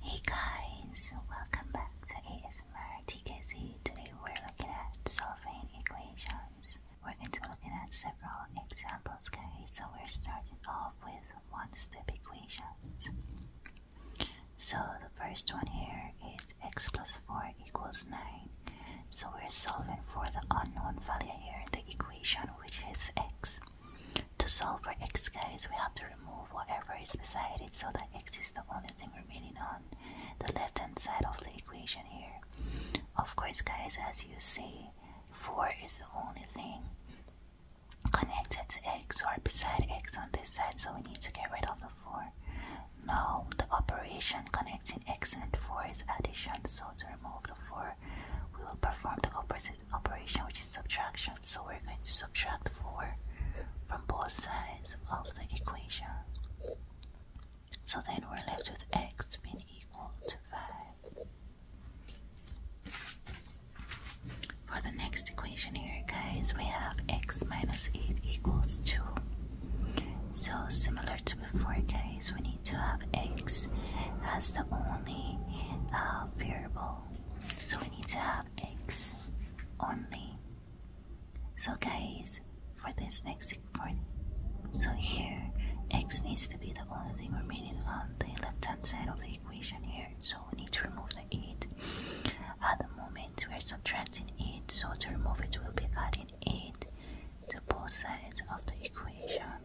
Hey guys, welcome back to ASMR TKC. Today we're looking at solving equations. We're going to be at several examples guys. So we're starting off with one-step equations. So the first one here is x plus 4 equals 9. So we're solving for the unknown value here in the equation which is x. To solve for x guys, we have to remove whatever is beside it so that x is the only thing remaining on the left hand side of the equation here. Of course, guys, as you see, 4 is the only thing connected to x or beside x on this side, so we need to get rid of the 4. Now, the operation connecting x and 4 is addition, so to remove the 4, we will perform the opposite operation which is subtraction. So we're going to subtract 4 from both sides of the equation. So then we're left with x being equal to 5. For the next equation here, guys, we have x minus 8 equals 2. So similar to before, guys, we need to have x as the only uh, variable. So we need to have have only. So guys, for this next part, so here x needs to be the only thing remaining on the left hand side of the equation here. So we need to remove the 8. At the moment we are subtracting 8, so to remove it we'll be adding 8 to both sides of the equation.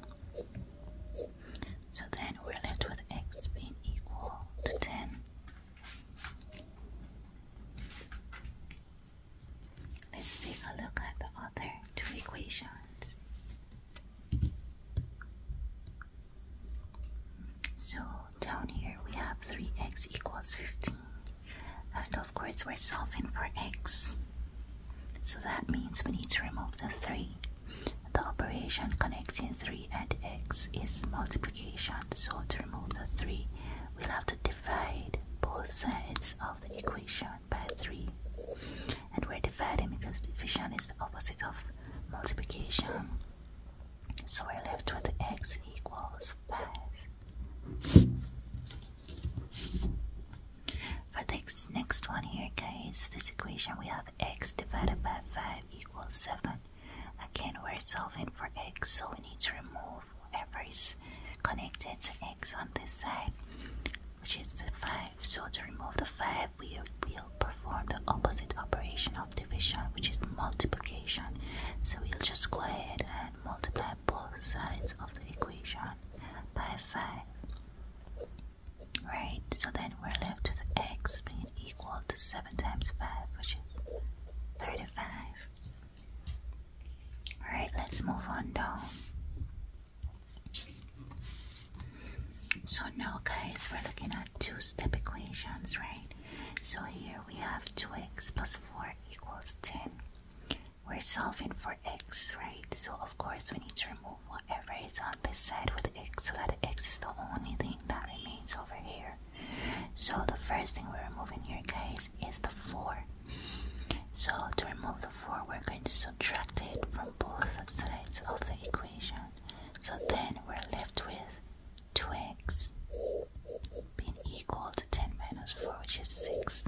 So then we're left with x being equal to 10. Let's take a look at the other two equations. So down here we have 3x equals 15 and of course we're solving for x. So that means we need to remove the 3. The operation connecting 3 and x is multiplication, so to remove the 3, we'll have to divide both sides of the equation by 3. And we're dividing because division is the opposite of multiplication. So we're left with x equals 5. For this next one here, guys, this equation we have x divided by 5 equals 7. Again, we're solving for x, so we need to remove everything connected to x on this side, which is the 5. So to remove the 5, we will perform the opposite operation of division, which is multiplication. So we'll just go ahead and multiply both sides of the equation by 5. Right, so then we're left with x being equal to 7 times 5, which is 35. Alright, let's move on down. So now guys, we're looking at two-step equations, right? So here we have 2x plus 4 equals 10. We're solving for x, right? So of course we need to remove whatever is on this side with x so that x is the only thing that remains over here. So the first thing we're removing here guys is the 4. So to remove the 4 we're going to subtract it from both sides of the equation. So then we're left with 2x being equal to 10 minus 4 which is 6.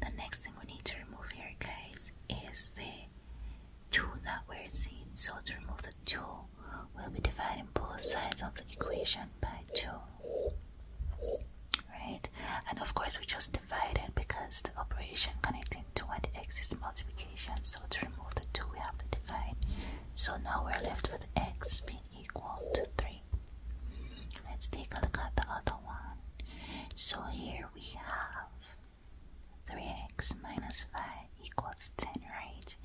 The next thing we need to remove here guys is the 2 that we're seeing. So to remove the 2 we will be dividing both sides of the equation by 2. Right? And of course, we just divide it because the operation connecting 2 and x is multiplication. So to remove the 2, we have to divide. So now we're left with x being equal to 3. Let's take a look at the other one. So here we have 3x minus 5 equals 10, right?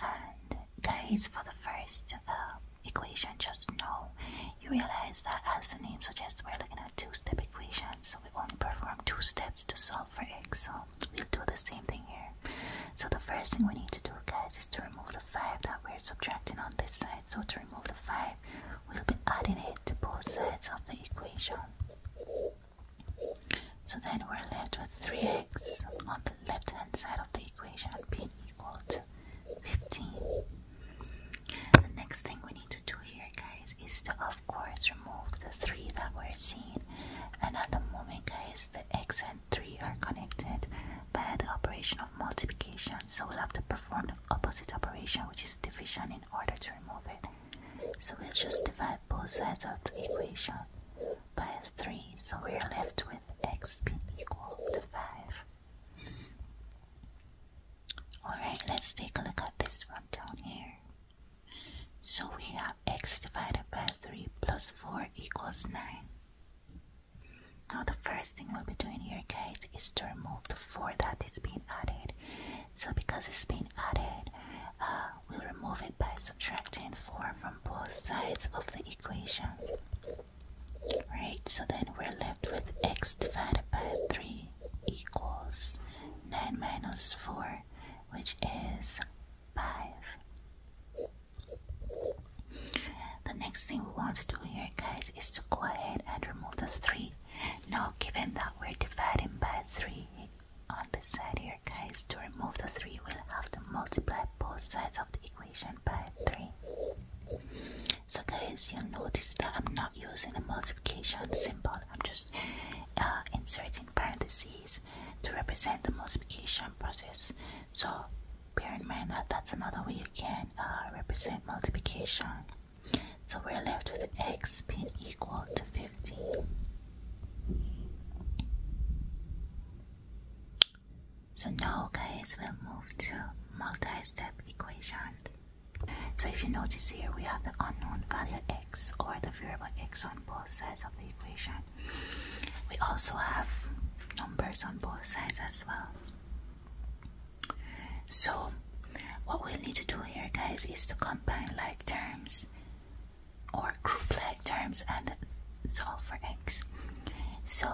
And guys, for the first um, equation, just know you realize that as the name suggests, we're looking at two-step equations, so we only perform two steps to solve for x, so we'll do the same thing here. So the first thing we need to do, guys, is to remove the 5 that we're subtracting on this side, so to remove the 5, we'll be adding it to both sides of the equation. So then we're left with 3x on the left hand side of the equation being equal to 15. The next thing we need to do here, guys, is to of course remove the 3 that we're seeing. And at the moment, guys, the x and 3 are connected by the operation of multiplication. So we'll have to perform the opposite operation, which is division, in order to remove it. So we'll just divide both sides of the equation. 3, so we are left with x being equal to 5. Alright, let's take a look at this one down here. So we have x divided by 3 plus 4 equals 9. Now the first thing we'll be doing here guys is to remove the 4 that is being added. So because it's being added, uh, We'll remove it by subtracting 4 from both sides of the equation. Right, so then we're left with x divided by 3 equals 9 minus 4, which is 5. The next thing we want to do here, guys, is to go ahead and remove the 3. Now, given that we're dividing by 3 on the side here, guys, to remove the 3 we'll have to multiply both sides of the equation by 3. So guys, you'll notice that I'm not using the multiplication symbol, I'm just uh, inserting parentheses to represent the multiplication process. So bear in mind that that's another way you can uh, represent multiplication. So we're left with x being equal to 15. So now guys, we'll move to multi-step equation. So if you notice here, we have the unknown value x or the variable x on both sides of the equation. We also have numbers on both sides as well. So what we need to do here guys is to combine like terms or group like terms and solve for x. So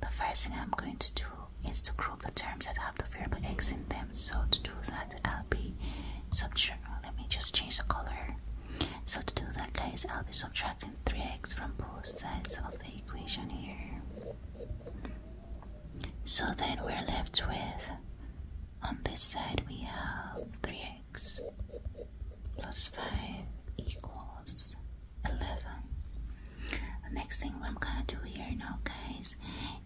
the first thing I'm going to do is to group the terms that have the variable x in them. So to do that, I'll be subtract. Let me just change the color. So to do that, guys, I'll be subtracting 3x from both sides of the equation here. So then we're left with, on this side we have 3x 6 plus 5 equals 11. The next thing what I'm gonna do here now, guys,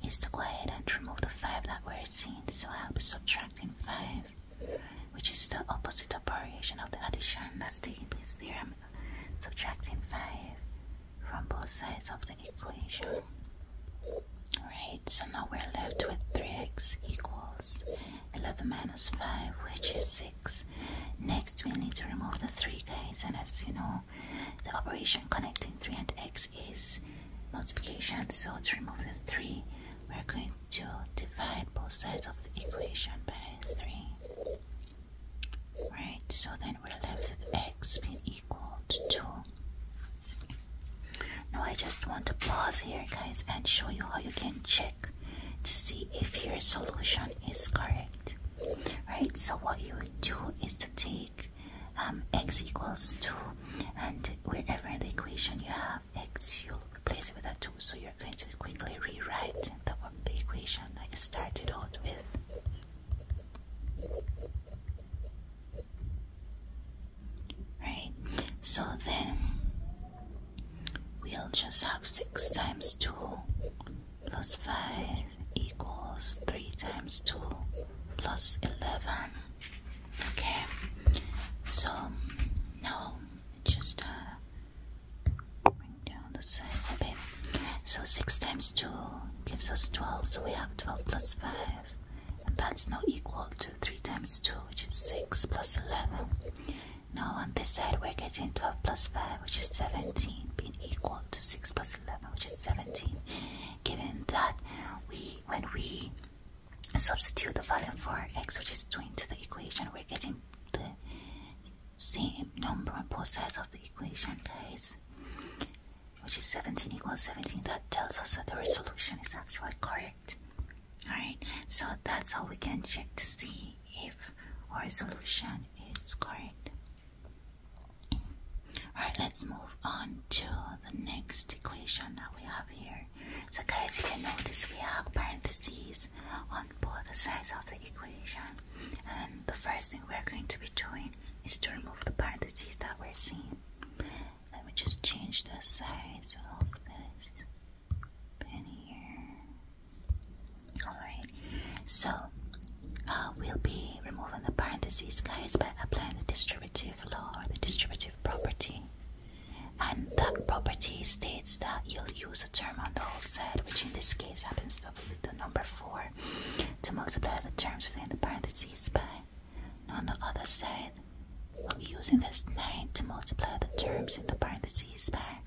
is to go ahead and remove the 5 that we're seeing. So I'll be subtracting 5, which is the opposite operation of the addition that's taking place there. I'm subtracting 5 from both sides of the equation. Right. so now we're left with 3x equals 11 minus 5 which is 6 next we need to remove the 3 guys and as you know the operation connecting 3 and x is multiplication so to remove the 3 we're going to divide both sides of the equation by 3 right so then we're left with x being equal to 2 now I just want to pause here guys and show you how you can check to see if your solution is correct right so what you would do is to take um, x equals 2 and wherever in the equation you have x you'll replace it with a 2 so you're going to quickly rewrite the, the equation that you started out with right so then We'll just have 6 times 2 plus 5 equals 3 times 2 plus 11. Okay, so now just uh, bring down the size a bit. So 6 times 2 gives us 12, so we have 12 plus 5. And that's now equal to 3 times 2, which is 6 plus 11. Now on this side we're getting 12 plus 5 which is 17 being equal to 6 plus 11 which is 17. Given that we when we substitute the value for x which is 2 into the equation we're getting the same number on both sides of the equation guys which is 17 equals 17 that tells us that the resolution is actually correct Alright, so that's how we can check to see if our solution is correct. Alright, let's move on to the next equation that we have here. So guys, you can notice we have parentheses on both sides of the equation. And the first thing we're going to be doing is to remove the parentheses that we're seeing. Let me just change the size of this. Alright, so uh, we'll be removing the parentheses, guys, by applying the distributive law or the distributive property. And that property states that you'll use a term on the outside, which in this case happens to be the number 4, to multiply the terms within the parentheses by. on the other side, using this 9 to multiply the terms in the parentheses by.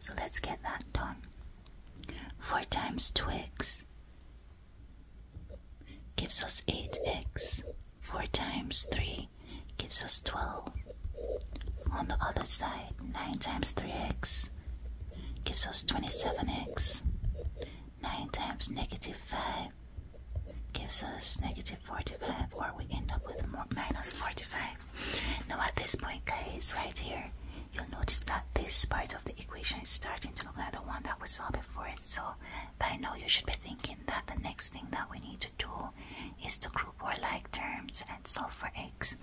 So let's get that done. 4 times 2x gives us 8x. 4 times 3 gives us 12. On the other side, 9 times 3x gives us 27x. 9 times negative 5 gives us negative 45, or we end up with minus 45 now at this point guys right here you'll notice that this part of the equation is starting to look like the one that we saw before so I know you should be thinking that the next thing that we need to do is to group our like terms and solve for x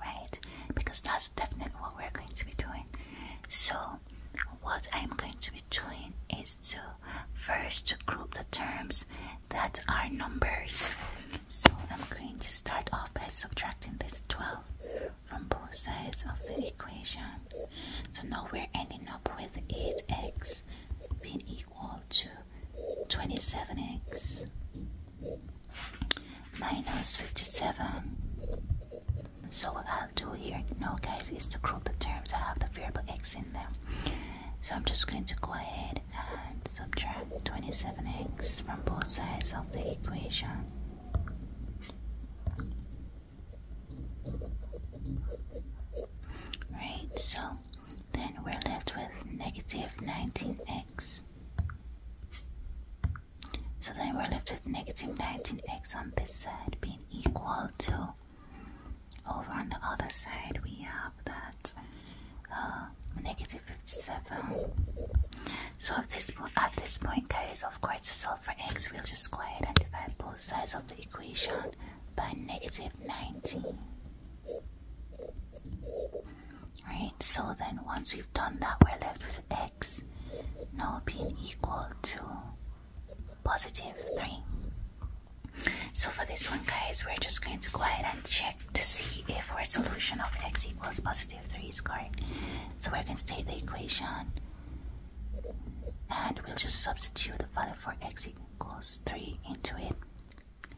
right because that's definitely what we're going to be doing so what i'm going to be doing is to first group the terms that's our numbers. So I'm going to start off by subtracting this 12 from both sides of the equation. So now we're ending up with 8x being equal to 27x minus 57. So what I'll do here now guys is to group the terms that have the variable x in them. So I'm just going to go ahead and subtract 27x from both sides of the equation. Right, so then we're left with negative 19x. So then we're left with negative 19x on this side being equal to over on the other side, we have that uh, 57. So at this, at this point, guys, of course, solve for x, we'll just go ahead and divide both sides of the equation by negative 19. Right, so then once we've done that, we're left with x now being equal to positive 3. So for this one guys, we're just going to go ahead and check to see if our solution of x equals positive 3 is correct. So we're going to take the equation and we'll just substitute the value for x equals 3 into it.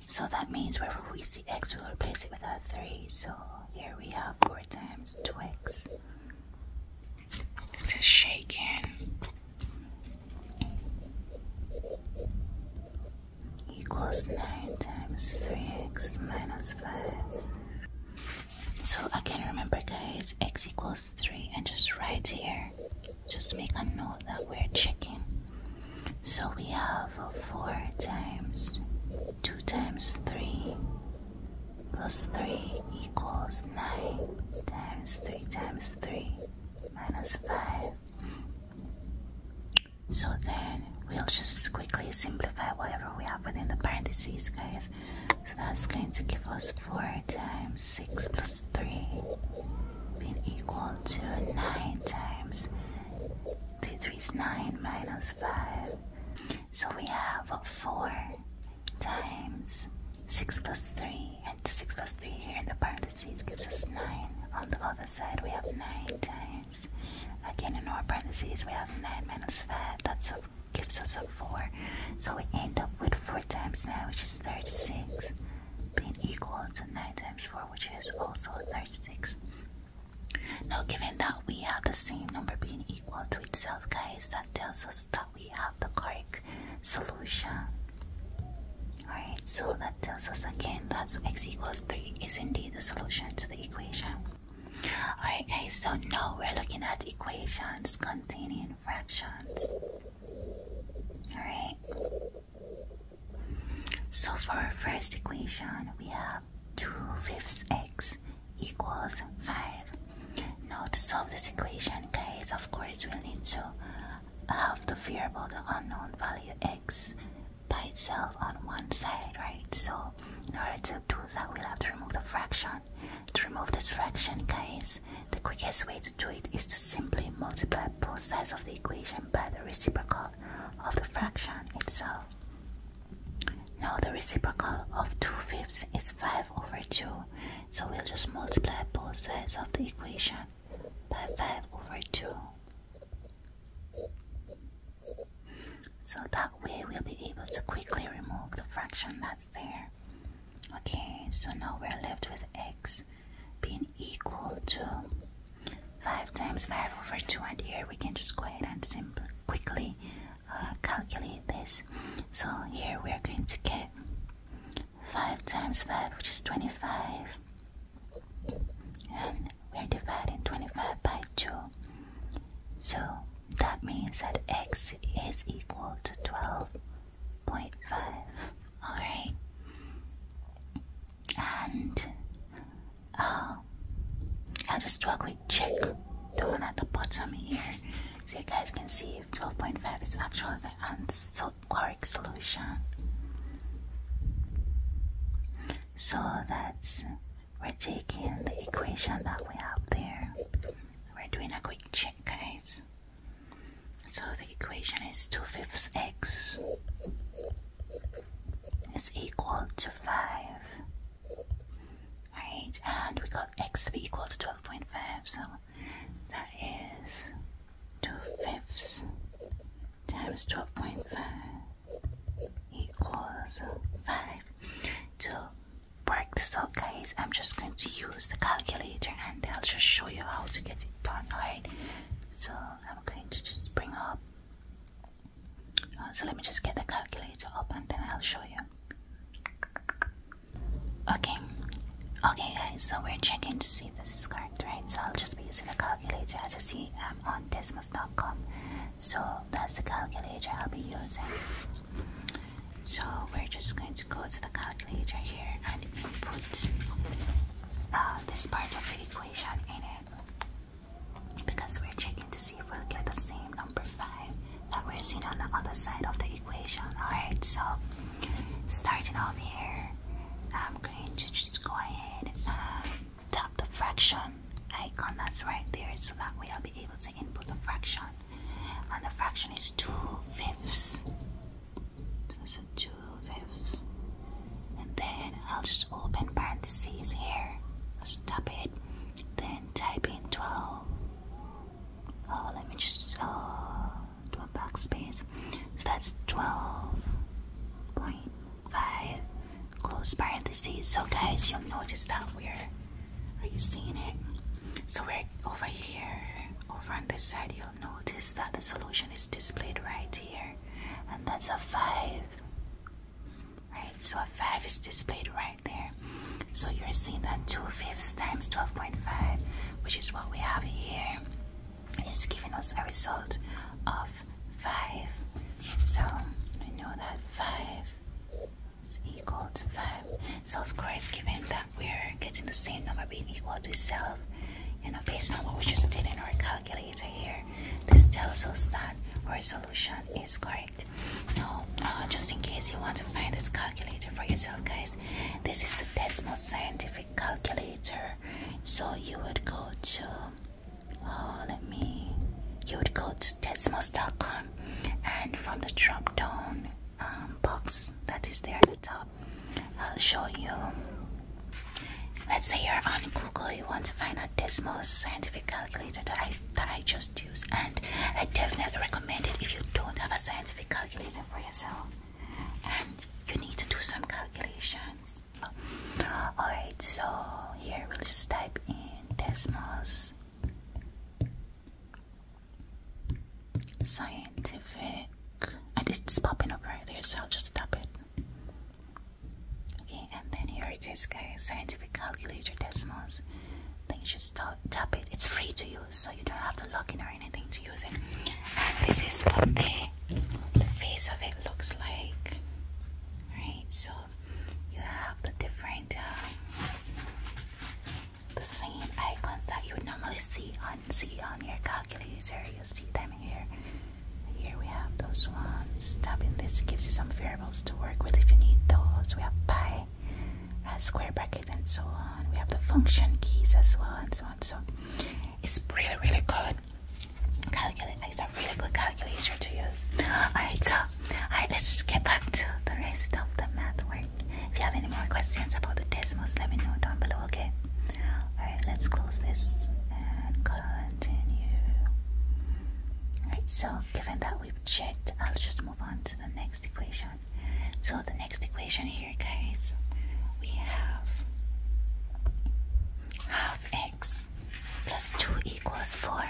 So that means wherever we see x, we'll replace it with a 3. So here we have 4 times 2x. This is shaking equals 9 times 3x minus 5. So I can remember guys, x equals 3 and just right here, just make a note that we're checking. So we have 4 times 2 times 3 plus 3 equals 9 times 3 times 3 minus 5 so then we'll just quickly simplify whatever we have within the parentheses, guys. So that's going to give us 4 times 6 plus 3 being equal to 9 times 3 3 is 9 minus 5. So we have 4 times 6 plus 3 to 6 plus 3 here in the parentheses gives us 9. On the other side, we have 9 times. Again, in our parentheses, we have 9 minus 5. That's a, gives us a 4. So we end up with 4 times 9, which is 36, being equal to 9 times 4, which is also 36. Now, given that we have the same number being equal to itself, guys, that tells us that we have the correct solution. Alright, so the tells us again that x equals 3 is indeed the solution to the equation. Alright guys, so now we're looking at equations containing fractions. Alright. So for our first equation, we have 2 fifths x equals 5. Now to solve this equation, guys, of course, we need to have the variable, the unknown value x by itself on one side, right? So in order to do that, we'll have to remove the fraction. To remove this fraction, guys, the quickest way to do it is to simply multiply both sides of the equation by the reciprocal of the fraction itself. Now the reciprocal of 2 fifths is 5 over 2. So we'll just multiply both sides of the equation by 5 over 2. So that way we'll be able to quickly remove the fraction that's there. Okay, so now we're left with x being equal to 5 times 5 over 2 and here we can just go ahead and simply quickly uh, calculate this. So here we are going to get 5 times 5 which is 25 and we're dividing 25 by 2 so that means that x is equal to 12.5 alright and uh, I'll just do a quick check the one at the bottom here so you guys can see if 12.5 is actually the answer chloric solution. So that's we're taking the equation that we have there. We're doing a quick check, guys. So the equation is 2 fifths x is equal to 5. Alright, and we got x to be equal to 12.5, so that is 2 fifths times 12.5 equals 5. To work this out, guys, I'm just going to use the calculator and I'll just show you how to get it done, alright? So I'm going to just bring up. Uh, so let me just get the calculator up and then I'll show you. Okay, okay, guys, so we're checking to see this is correct, right? So I'll just be using a calculator. As you see, I'm on Desmos.com, so that's the calculator I'll be using. So we're just going to go to the calculator here and input uh, this part of the equation in it because we're checking to see if we'll get the same number 5 that we're seeing on the other side of the equation. Alright, so starting off here, I'm going to just go ahead and um, tap the fraction icon that's right there so that way I'll be able to input the fraction. And the fraction is 2 fifths. So 2 fifths. And then I'll just open parentheses here. Just tap it. Then type in 12. Oh, let me just oh, do a backspace. So that's 12 point five close parentheses. So guys, you'll notice that we're are you seeing it? So we're over here, over on this side, you'll notice that the solution is displayed right here, and that's a five. Right, so a five is displayed right there. So you're seeing that two fifths times twelve point five, which is what we have here. It's giving us a result of 5. So we know that 5 is equal to 5. So of course given that we're getting the same number being equal to itself, you know, based on what we just did in our calculator here, this tells us that our solution is correct. Now, uh, just in case you want to find this calculator for yourself, guys, this is the Desmos Scientific Calculator. So you would go to Oh, let me. You would go to Desmos.com and from the drop down um, box that is there at the top, I'll show you. Let's say you're on Google, you want to find a Desmos scientific calculator that I, that I just use, and I definitely recommend it if you don't have a scientific calculator for yourself and you need to do some calculations. Alright, so here we'll just type in Desmos Scientific. I did it's popping up right there, so I'll just tap it. Okay, and then here it is, guys. Scientific calculator Desmos. Then you just tap it. It's free to use, so you don't have to log in or anything to use it. And this is what they the face of it looks like. Right, so you have the different, um, the same icons that you would normally see on see on your calculator. You see them here. Here we have those ones. Tapping this gives you some variables to work with if you need those. We have pi, uh, square brackets, and so on. We have the function keys as well, and so on. So it's really, really good calculator. It's a really good calculator to use. Alright, so alright, let's just get back to the rest of the math work. If you have any more questions about the Desmos, let me know down below, okay? Alright, let's close this and continue. Alright, so given that we've checked, I'll just move on to the next equation. So the next equation here, guys, we have half x plus 2 equals 4.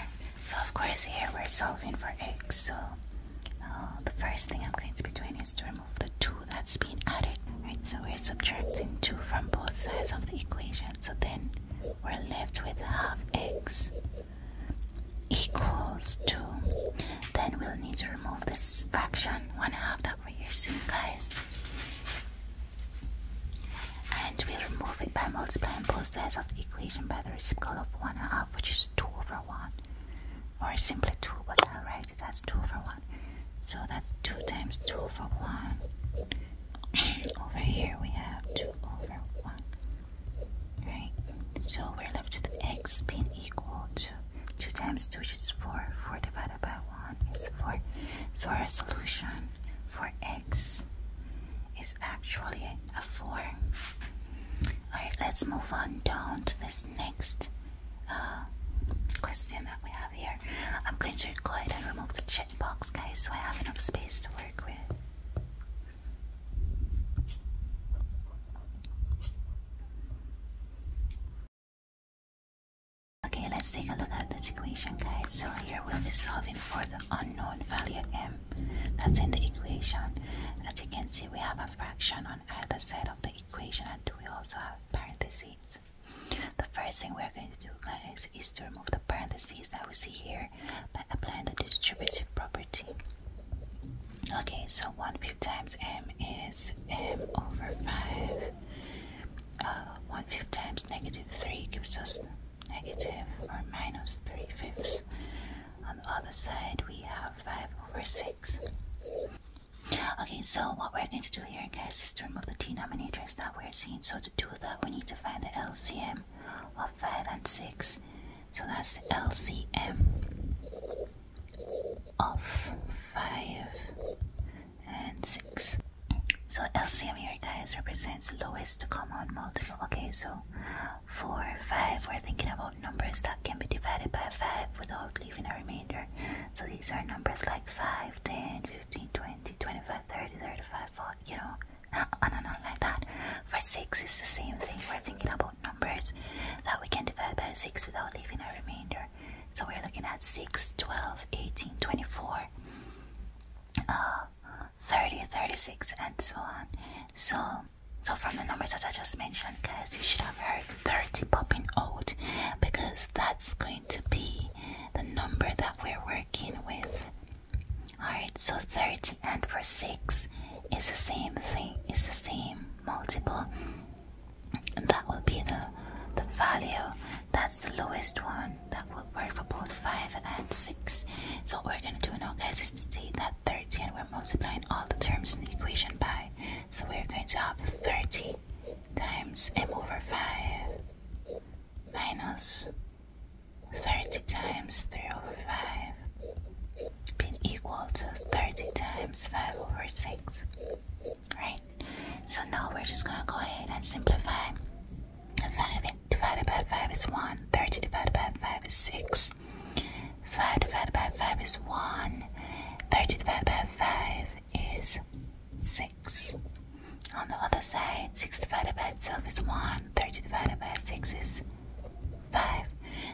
So of course here we're solving for x. So uh, the first thing I'm going to be doing is to remove the 2 that that's been added. Right, so we're subtracting 2 from both sides of the equation. So then we're left with half x equals 2. Then we'll need to remove this fraction, 1 half that we're using guys. And we remove it by multiplying both sides of the equation by the reciprocal of 1 half, which is 2 over 1. Or simply 2, but I'll write it as 2 over 1. So that's 2 times 2 over 1. over here we have 2 over 1. Right? So we're left with x being equal to 2 times 2, which is 4. 4 divided so our solution for x is actually a 4 all right let's move on down to this next uh, question that we have here i'm going to go ahead and remove the checkbox guys so i have enough space to work with Okay, let's take a look at this equation, guys. So here we'll be solving for the unknown value m that's in the equation. As you can see, we have a fraction on either side of the equation, and we also have parentheses. The first thing we're going to do, guys, is to remove the parentheses that we see here by applying the distributive property. Okay, so 1 fifth times m is m over 5 uh, 1 fifth times negative 3 gives us negative or minus 3 fifths. On the other side, we have 5 over 6. Okay, so what we're going to do here, guys, is to remove the denominators that we're seeing. So to do that, we need to find the LCM of 5 and 6. So that's the LCM of 5 and 6. So LCM here, guys, represents lowest common multiple. Okay, so 4, 5, we're thinking about numbers that can be divided by 5 without leaving a remainder. So these are numbers like 5, 10, 15, 20, 25, 30, 35, 40, you know, and on like that. For 6, it's the same thing. We're thinking about numbers that we can divide by 6 without leaving a remainder. So we're looking at 6, 12, 18, 24, uh, 30, 36, and so on. So, so from the numbers that I just mentioned, guys, you should have heard 30 popping out because that's going to be the number that we're working with. Alright, so 30 and for 6 is the same thing, is the same multiple. And that will be the the value that's the lowest one. That will work for both 5 and 6. So what we're going to do now, guys, is to take that 30 and we're multiplying all the terms in the equation by. So we're going to have 30 times m over 5 minus 30 times 3 over 5 being equal to 30 times 5 over 6. Right? So now we're just gonna go ahead and simplify. 5 divided by 5 is 1, 30 divided by 5 is 6, 5 divided by 5 is 1, 30 divided by 5 is 6. On the other side, 6 divided by itself is 1, 30 divided by 6 is 5.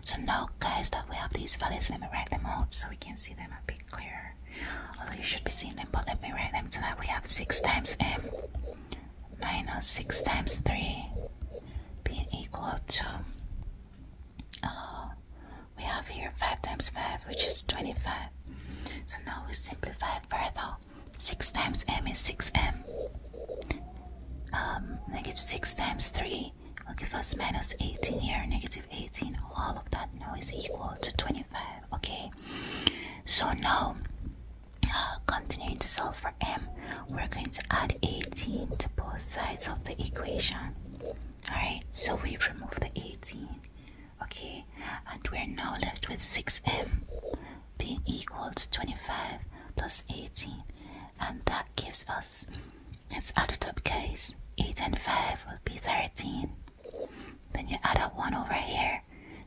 So now, guys, that we have these values, let me write them out so we can see them a bit clearer here. you should be seeing them, but let me write them so that we have 6 times m minus 6 times 3 being equal to, oh, we have here 5 times 5, which is 25. So now we simplify further. 6 times m is 6m. Um, negative 6 times 3 will give us minus 18 here, negative 18. All of that now is equal to 25 okay so now uh, continuing to solve for m we're going to add 18 to both sides of the equation all right so we remove the 18 okay and we're now left with 6m being equal to 25 plus 18 and that gives us let's add it case, 8 and 5 will be 13 then you add up 1 over here.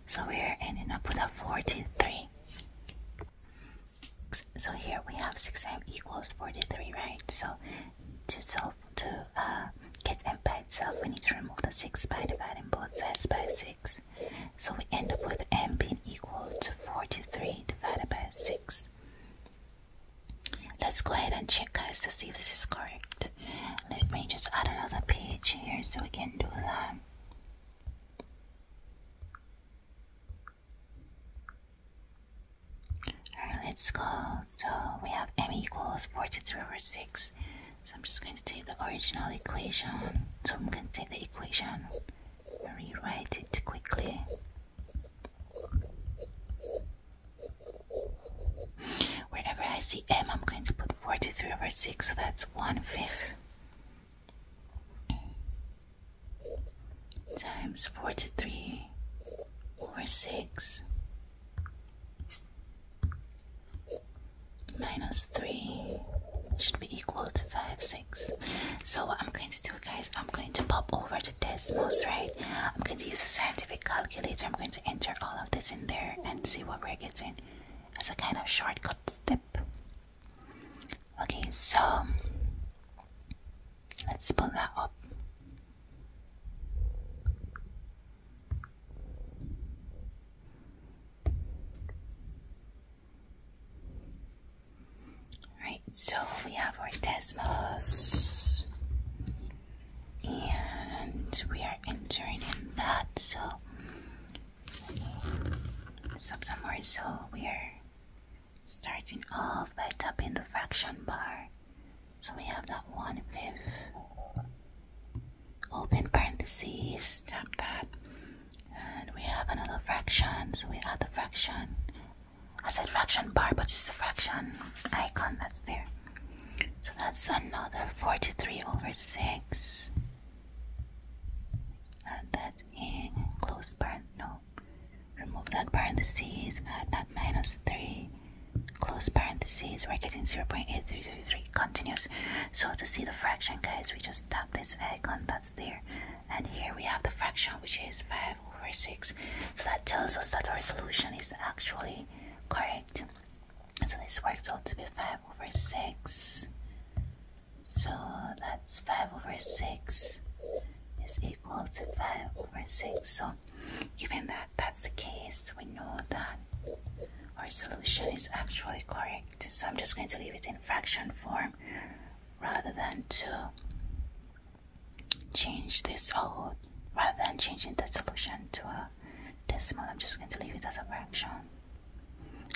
So we're ending up with a 43. So here we have 6m equals 43, right? So to solve, to uh, get m by itself, we need to remove the 6 by dividing both sides by 6. So we end up with m being equal to 43 divided by 6. Let's go ahead and check guys to see if this is correct. Let me just add another page here so we can do that. Alright, let's go. So we have m equals 43 over 6. So I'm just going to take the original equation. So I'm going to take the equation rewrite it quickly. Wherever I see m, I'm going to put 43 over 6. So that's that's one fifth times 43 over 6 minus 3 should be equal to 5 6 so i'm going to do guys i'm going to pop over to Desmos, right i'm going to use a scientific calculator i'm going to enter all of this in there and see what we're getting as a kind of shortcut step. Okay, so let's pull that up. Right, so we have our Desmos and we are entering in that. So Subsummer, so we're starting off by tapping the fraction bar. So we have that one fifth. Open parentheses, tap that. And we have another fraction, so we add the fraction. I said fraction bar, but it's the fraction icon that's there. So that's another 43 over 6. Add uh, that in, close parent, Remove that parentheses, add uh, that minus 3, close parentheses, we're getting 0.8333, continuous. So to see the fraction, guys, we just tap this icon that's there. And here we have the fraction, which is 5 over 6. So that tells us that our solution is actually correct. So this works out to be 5 over 6. So that's 5 over 6 is equal to 5 over 6. So given that that's the case, we know that our solution is actually correct. So I'm just going to leave it in fraction form rather than to change this out, rather than changing the solution to a decimal, I'm just going to leave it as a fraction.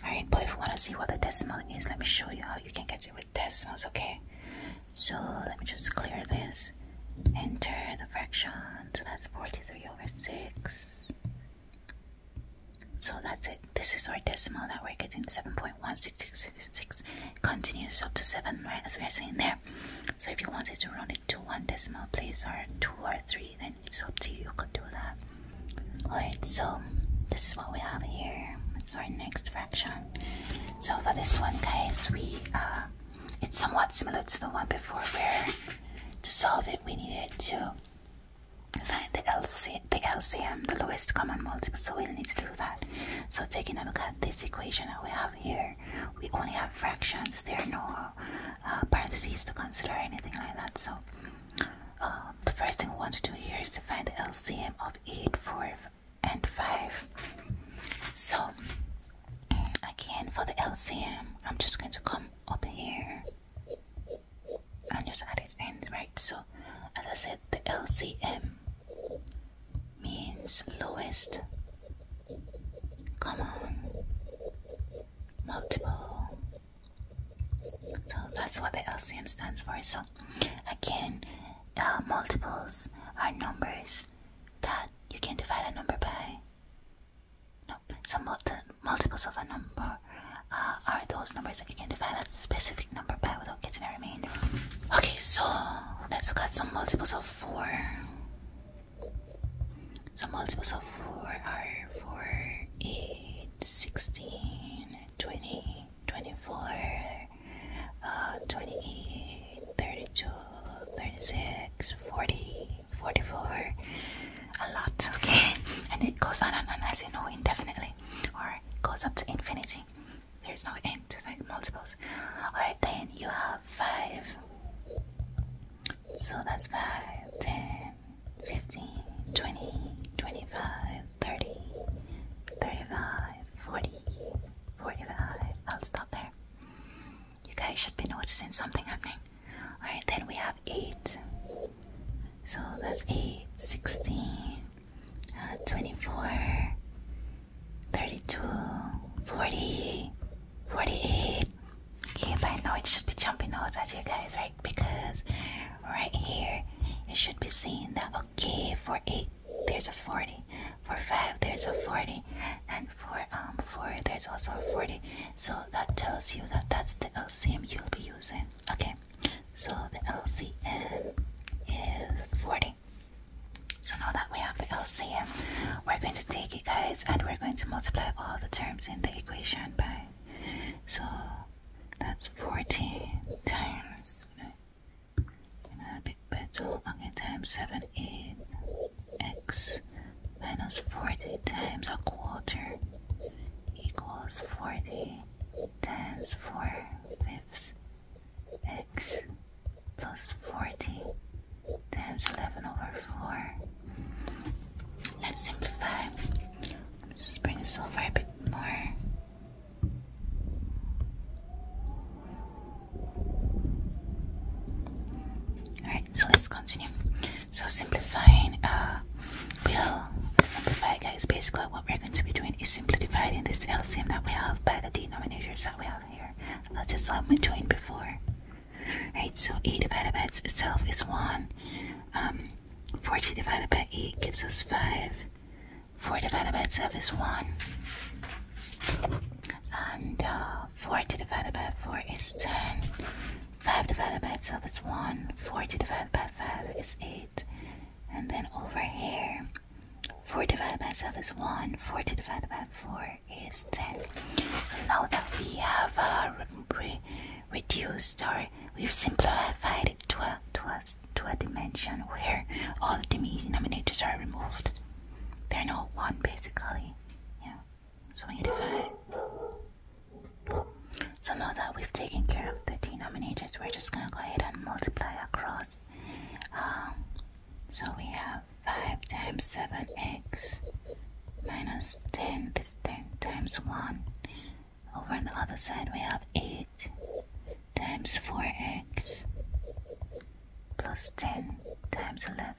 Alright, but if you want to see what the decimal is, let me show you how you can get it with decimals, okay? So let me just clear this. Enter the fraction. So that's 43 over 6. So that's it. This is our decimal that we're getting 7.1666. Continues up to 7, right? As we are seeing there. So if you wanted to round it to one decimal place or two or three then it's up to you. to do that. Alright, so this is what we have here. It's our next fraction. So for this one, guys, we uh, it's somewhat similar to the one before, where to solve it we needed to find the LCM, the lowest common multiple. So we'll need to do that. So taking a look at this equation that we have here, we only have fractions. There are no uh, parentheses to consider or anything like that. So um, the first thing I want to do here is to find the LCM of 8, 4, and 5. So, mm, again, for the LCM, I'm just going to come up here and just add it in, right? So, as I said, the LCM means lowest common multiple so that's what the LCM stands for. So again, uh, multiples are numbers that you can divide a number by. No, so mul the multiples of a number uh, are those numbers that you can divide a specific number by without getting a remainder. Okay, so let's look at some multiples of 4. So multiples of 4 are 4, 8, 16, 20, 24, uh, 28, 32, 36, 40, 44. A lot, okay? And it goes on and on, as you know, indefinitely. Or goes up to infinity. There's no end to the multiples. Alright, then you have 5. So that's 5, 10, 15, 20, 25, 30, 35, 40, 45. I'll stop there. You guys should be noticing something happening. Alright, then we have 8. So that's 8, 16, uh, 24, 32, 40, 48, Okay, but I know it should be jumping out at you guys, right? Because right here it should be saying that okay for eight there's a 40 for five there's a 40 and for um, four there's also a 40 so that tells you that that's the LCM you'll be using okay so the LCM is 40 so now that we have the LCM we're going to take it guys and we're going to multiply all the terms in the equation by so that's 14 times, you know, you a big bit. Okay, times 7 8x minus 40 times a quarter equals 40 times 4 fifths x plus 40 times 11 over 4 Let's simplify. just bring the silver a bit more. Alright, so let's continue. So simplifying uh to simplify guys basically what we're going to be doing is simply dividing this LCM that we have by the denominators that we have here. Let's just what I'm before. Right, so A divided by itself is 1. Um, 40 divided by 8 gives us 5. 4 divided by itself is 1. And uh, 40 divided by 4 is 10. 5 divided by itself is 1. 40 divided by 5 is 8. And then over here, 4 divided by itself is 1. 40 divided by 4 is 10. So now that we have a uh, reduced or we've simplified it to a, to a, to a dimension where all the denominators are removed. They're not one basically. Yeah. So when divide. So now that we've taken care of the denominators, we're just gonna go ahead and multiply across. Um, so we have 5 times 7x minus 10, is 10 times 1 over on the other side we have 8 times 4x plus 10 times 11.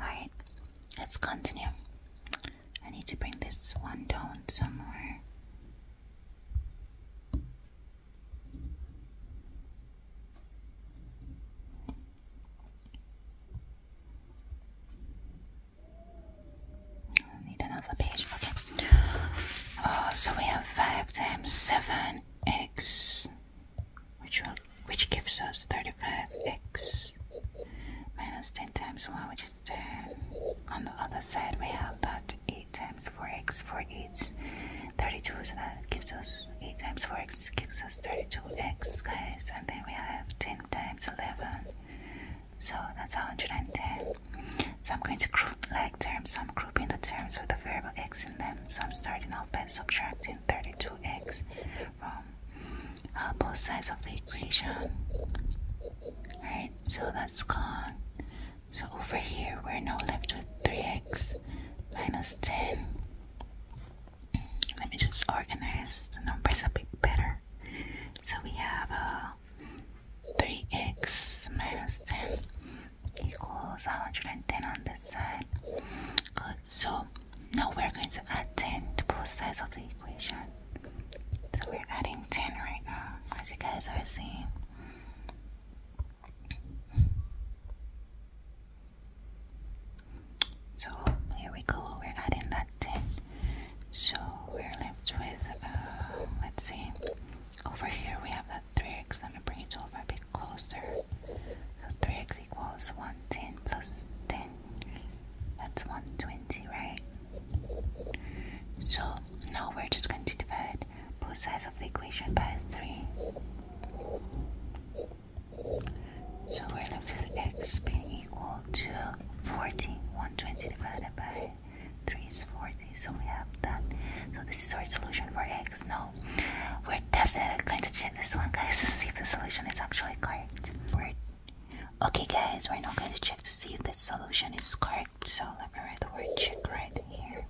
Alright, let's continue. I need to bring this one down somewhere need another page. Okay. Oh, so we have five times seven x, which will which gives us thirty-five x minus ten times one, which is ten. On the other side, we have that eight times four x. Four eights, thirty-two. So that gives us eight times four x gives us thirty-two x, guys. And then we have ten times eleven. So that's how I'm going to 110. So I'm going to group like terms. So I'm grouping the terms with the variable x in them. So I'm starting off by subtracting 32x from uh, both sides of the equation. Alright, so that's gone. So over here, we're now left with 3x minus 10. Let me just organize the numbers a bit better. So we have uh, a 3x minus 10 equals 110 on this side. Good. So now we're going to add 10 to both sides of the equation. So we're adding 10 right now, as you guys are seeing. So here we go, we're adding that 10. So we're left with, um, let's see, over here we have that 3x, let me bring it over a bit closer. So 3x equals 110 plus 10, that's 120, right? So now we're just going to divide both sides of the equation by 3. So we're left with x being equal to 40. 120 divided by 3 is 40. So we have that. So this is our solution for x. No, we're definitely going to check this one, guys, to see if the solution is actually correct. we okay, guys, we're now going to check to see if the solution is correct. So let me write the word check right here.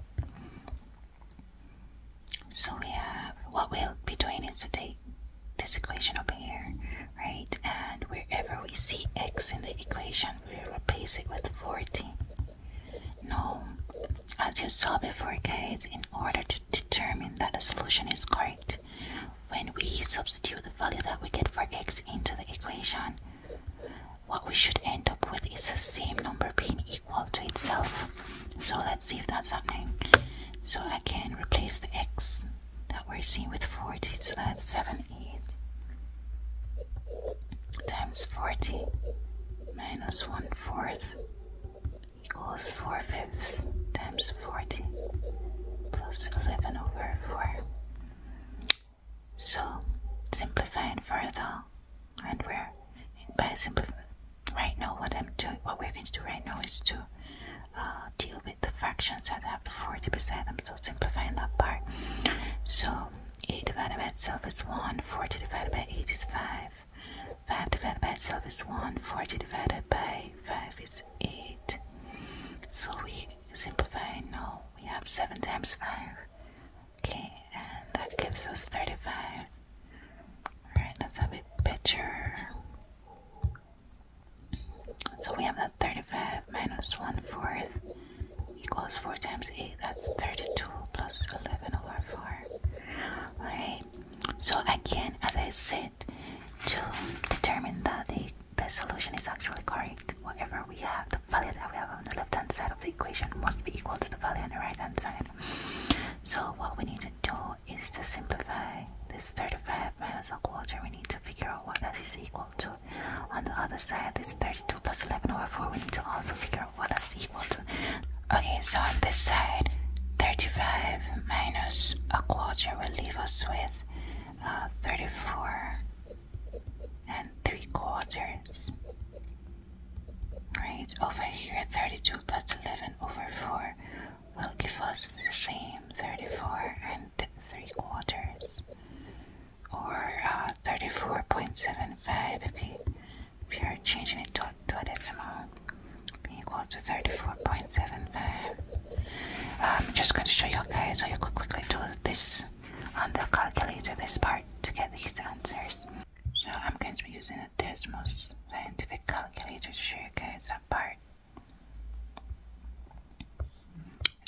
So we have what we'll be doing is to take this equation over here, right? And wherever we see x in the equation, we replace it with 40. Now, as you saw before, guys, in order to determine that the solution is correct, when we substitute the value that we get for x into the equation, what we should end up with is the same number being equal to itself. So let's see if that's happening. So I can replace the x that we're seeing with 40 so that's 7 8 times 40 minus 1 fourth equals 4 fifths times 40 plus 11 over 4 so simplifying further and we're by simplifying right now what I'm doing what we're going to do right now is to uh, deal with the fractions that have the 40 beside them. So simplifying that part. So 8 divided by itself is 1. 40 divided by 8 is 5. 5 divided by itself is 1. 40 divided by 5 is 8. So we simplify now. We have 7 times 5. Okay, and that gives us 35. Alright, let's have a picture. So we have that 35 minus 1 fourth equals 4 times 8. That's 32 plus 11 over 4. Alright. So again, as I said, to determine that the, the solution is actually correct, whatever we have, the value that we have on the left hand side of the equation must be equal to the value on the right hand side. So what we need to do is to simplify this 35 minus a quarter, we need to figure out what that is equal to. On the other side, this 32 plus 11 over 4, we need to also figure out what that's equal to. Okay, so on this side, 35 minus a quarter will leave us with uh, 34 and 3 quarters. Right, over here, 32 plus 11 over 4 will give us the same 34 and 3 quarters or uh, 34.75 if, you, are changing it to, a decimal equal to 34.75 I'm just going to show you guys so you could quickly do this on the calculator this part to get these answers so I'm going to be using a Desmos scientific calculator to show you guys that part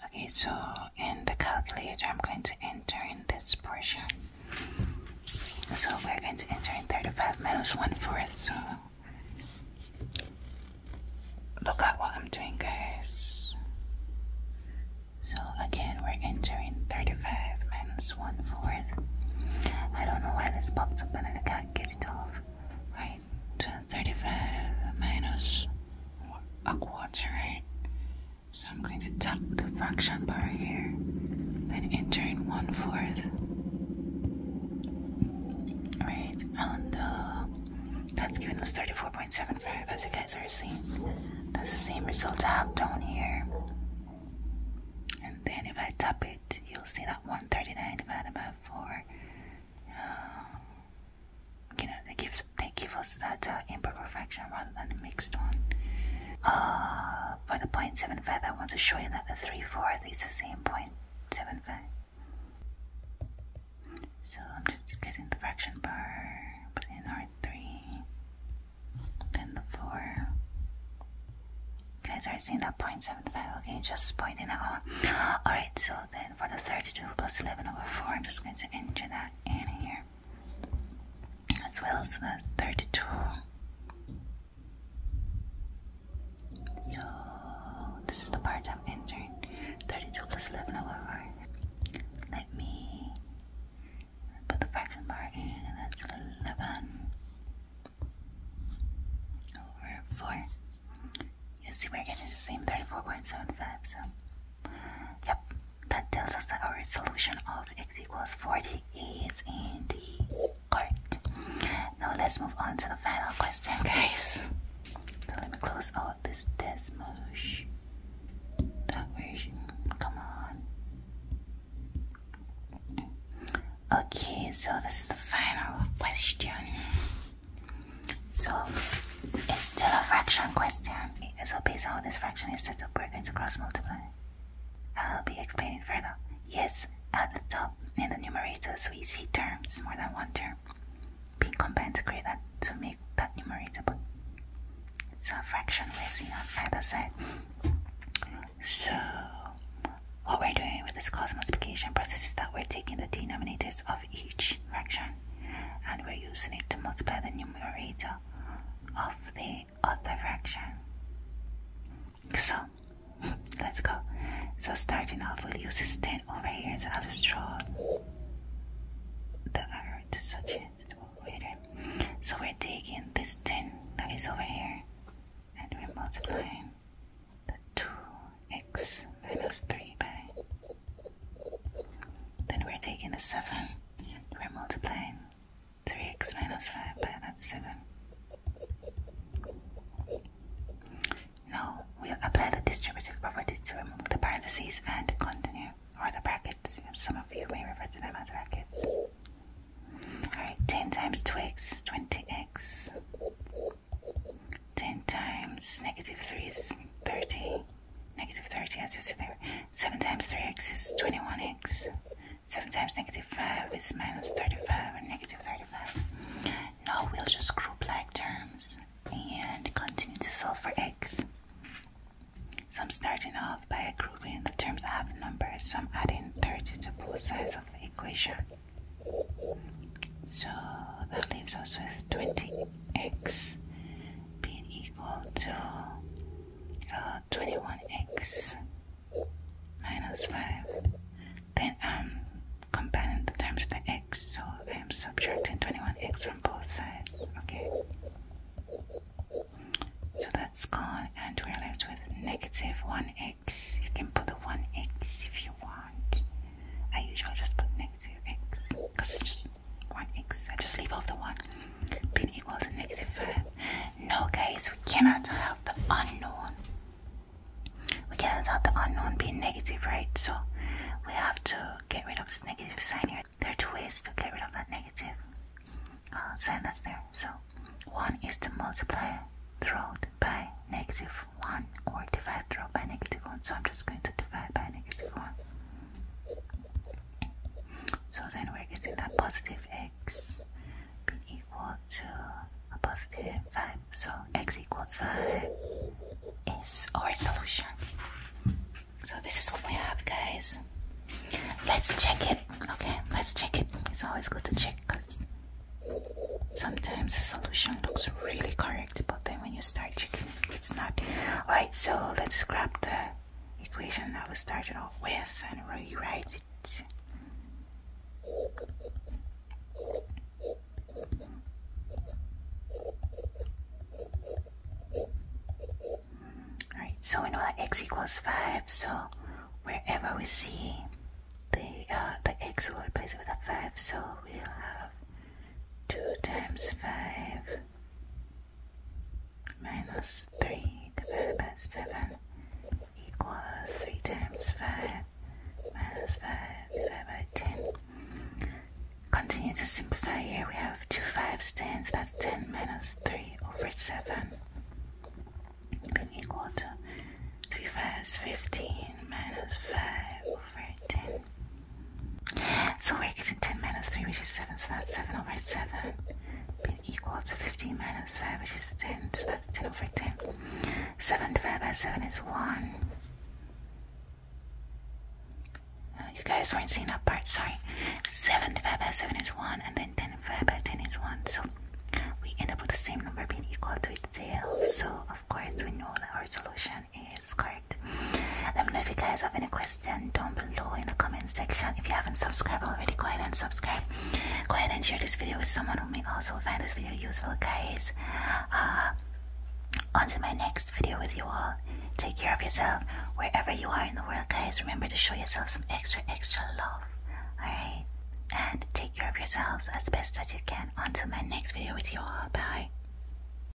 Okay, so in the calculator, I'm going to enter in this portion. So we're going to enter in 35 minus 1 fourth. So look at what I'm doing, guys. So again, we're entering 35 minus 1 fourth. I don't know why this popped up and I can't get it off. Right right? 35 minus a quarter, right? So I'm going to tap the fraction bar here, then enter in one fourth, right? And uh, that's giving us 34.75, as you guys are seeing. That's the same result I have down here. And then if I tap it, you'll see that 139 divided by 4 you know they give they give us that uh, imperfection rather than a mixed one. Uh, for the 0.75, I want to show you that the 3 4 is the same 0.75. So I'm just getting the fraction bar, putting in our 3 then the 4. guys are seeing that 0.75, okay? Just pointing out. Alright, so then for the 32 plus 11 over 4, I'm just going to enter that in here. As well, so that's 32. So this is the part I'm entering. 32 plus 11 over 4. Let me put the fraction bar that's 11 over 4. You see, we're getting the same 34.75, so... Yep, that tells us that our solution of x equals 40 is indeed correct. Now let's move on to the final question, guys. let me close out this Desmosh. come on. Okay, so this is the final question. So it's still a fraction question. So based on this fraction is set up, we're going to cross multiply. I'll be explaining further. Yes, at the top in the numerator, so we see terms more than one term being combined to create that to make that numerator. But it's a fraction we're seeing on either side. So what we're doing with this cross multiplication process is that we're taking the denominators of each fraction and we're using it to multiply the numerator of the other fraction. So let's go. So starting off, we'll use this 10 over here, so I'll the arrow to suggest later. So we're taking this 10 that is over here and we're multiplying the 2 x minus 3 by. Then we're taking the 7, we're multiplying 3x minus 5 by that 7. Now we'll apply the distributive property to remove the parentheses and continue, or the brackets. Some of you may refer to them as brackets. Alright, 10 times 2x 20x. 10 times negative 3 is 30. Negative 30, as you see there. 7 times 3x is 21x. 7 times negative 5 is minus 35 35. Now we'll just group like terms and continue to solve for x. So I'm starting off by grouping the terms I have numbers, so I'm adding 30 to both sides of the equation. So that leaves us with 20 x being equal to 21x uh, minus 5. Then I'm combining the terms of the x, so I'm subtracting 21x from both sides. Okay. So that's gone, and we're left with negative 1x. You can put the 1x if you want. I usually just put negative x because it's just one x. I just leave off the one. Being equal to negative 5. No, case we cannot have the unknown. We cannot have the unknown being negative, right? So we have to get rid of this negative sign here. There are two ways to get rid of that negative uh, sign that's there. So one is to multiply throughout by negative 1 or divide throughout by negative 1. So I'm just going to divide by negative 1. So then we're getting that positive x being equal to a positive 5. So x equals 5 is our solution. So this is what we have, guys. Let's check it. Okay, let's check it. It's always good to check because sometimes the solution looks really correct but then when you start checking it's not all right so let's grab the equation that we started off with and rewrite it all right so we know that x equals 5 so wherever we see the uh, the x will replace it with a 5 so we'll have 2 times 5 minus 3 divided by 7 equals 3 times 5 minus 5 divided by 10. Continue to simplify here. We have 2 5s, 10, that's 10 minus 3 over 7 being equal to 3 15 minus 5 over 10. So we're getting 10 minus 3, which is 7, so that's 7 over 7 being equal to 15 minus 5, which is 10, so that's 10 over 10. 7 divided by 7 is 1. Uh, you guys weren't seeing that part, sorry. 7 divided by 7 is 1, and then 10 divided by 10 is 1, so we end up with the same number being equal to itself. So, of course, we know that our solution is correct. Let me know if you guys have any questions down below in the comment section. If you haven't subscribed already, go ahead and subscribe. Go ahead and share this video with someone who may also find this video useful, guys. Uh, on to my next video with you all. Take care of yourself wherever you are in the world, guys. Remember to show yourself some extra, extra love. Alright? And take care of yourselves as best as you can. Until my next video with you all. Bye.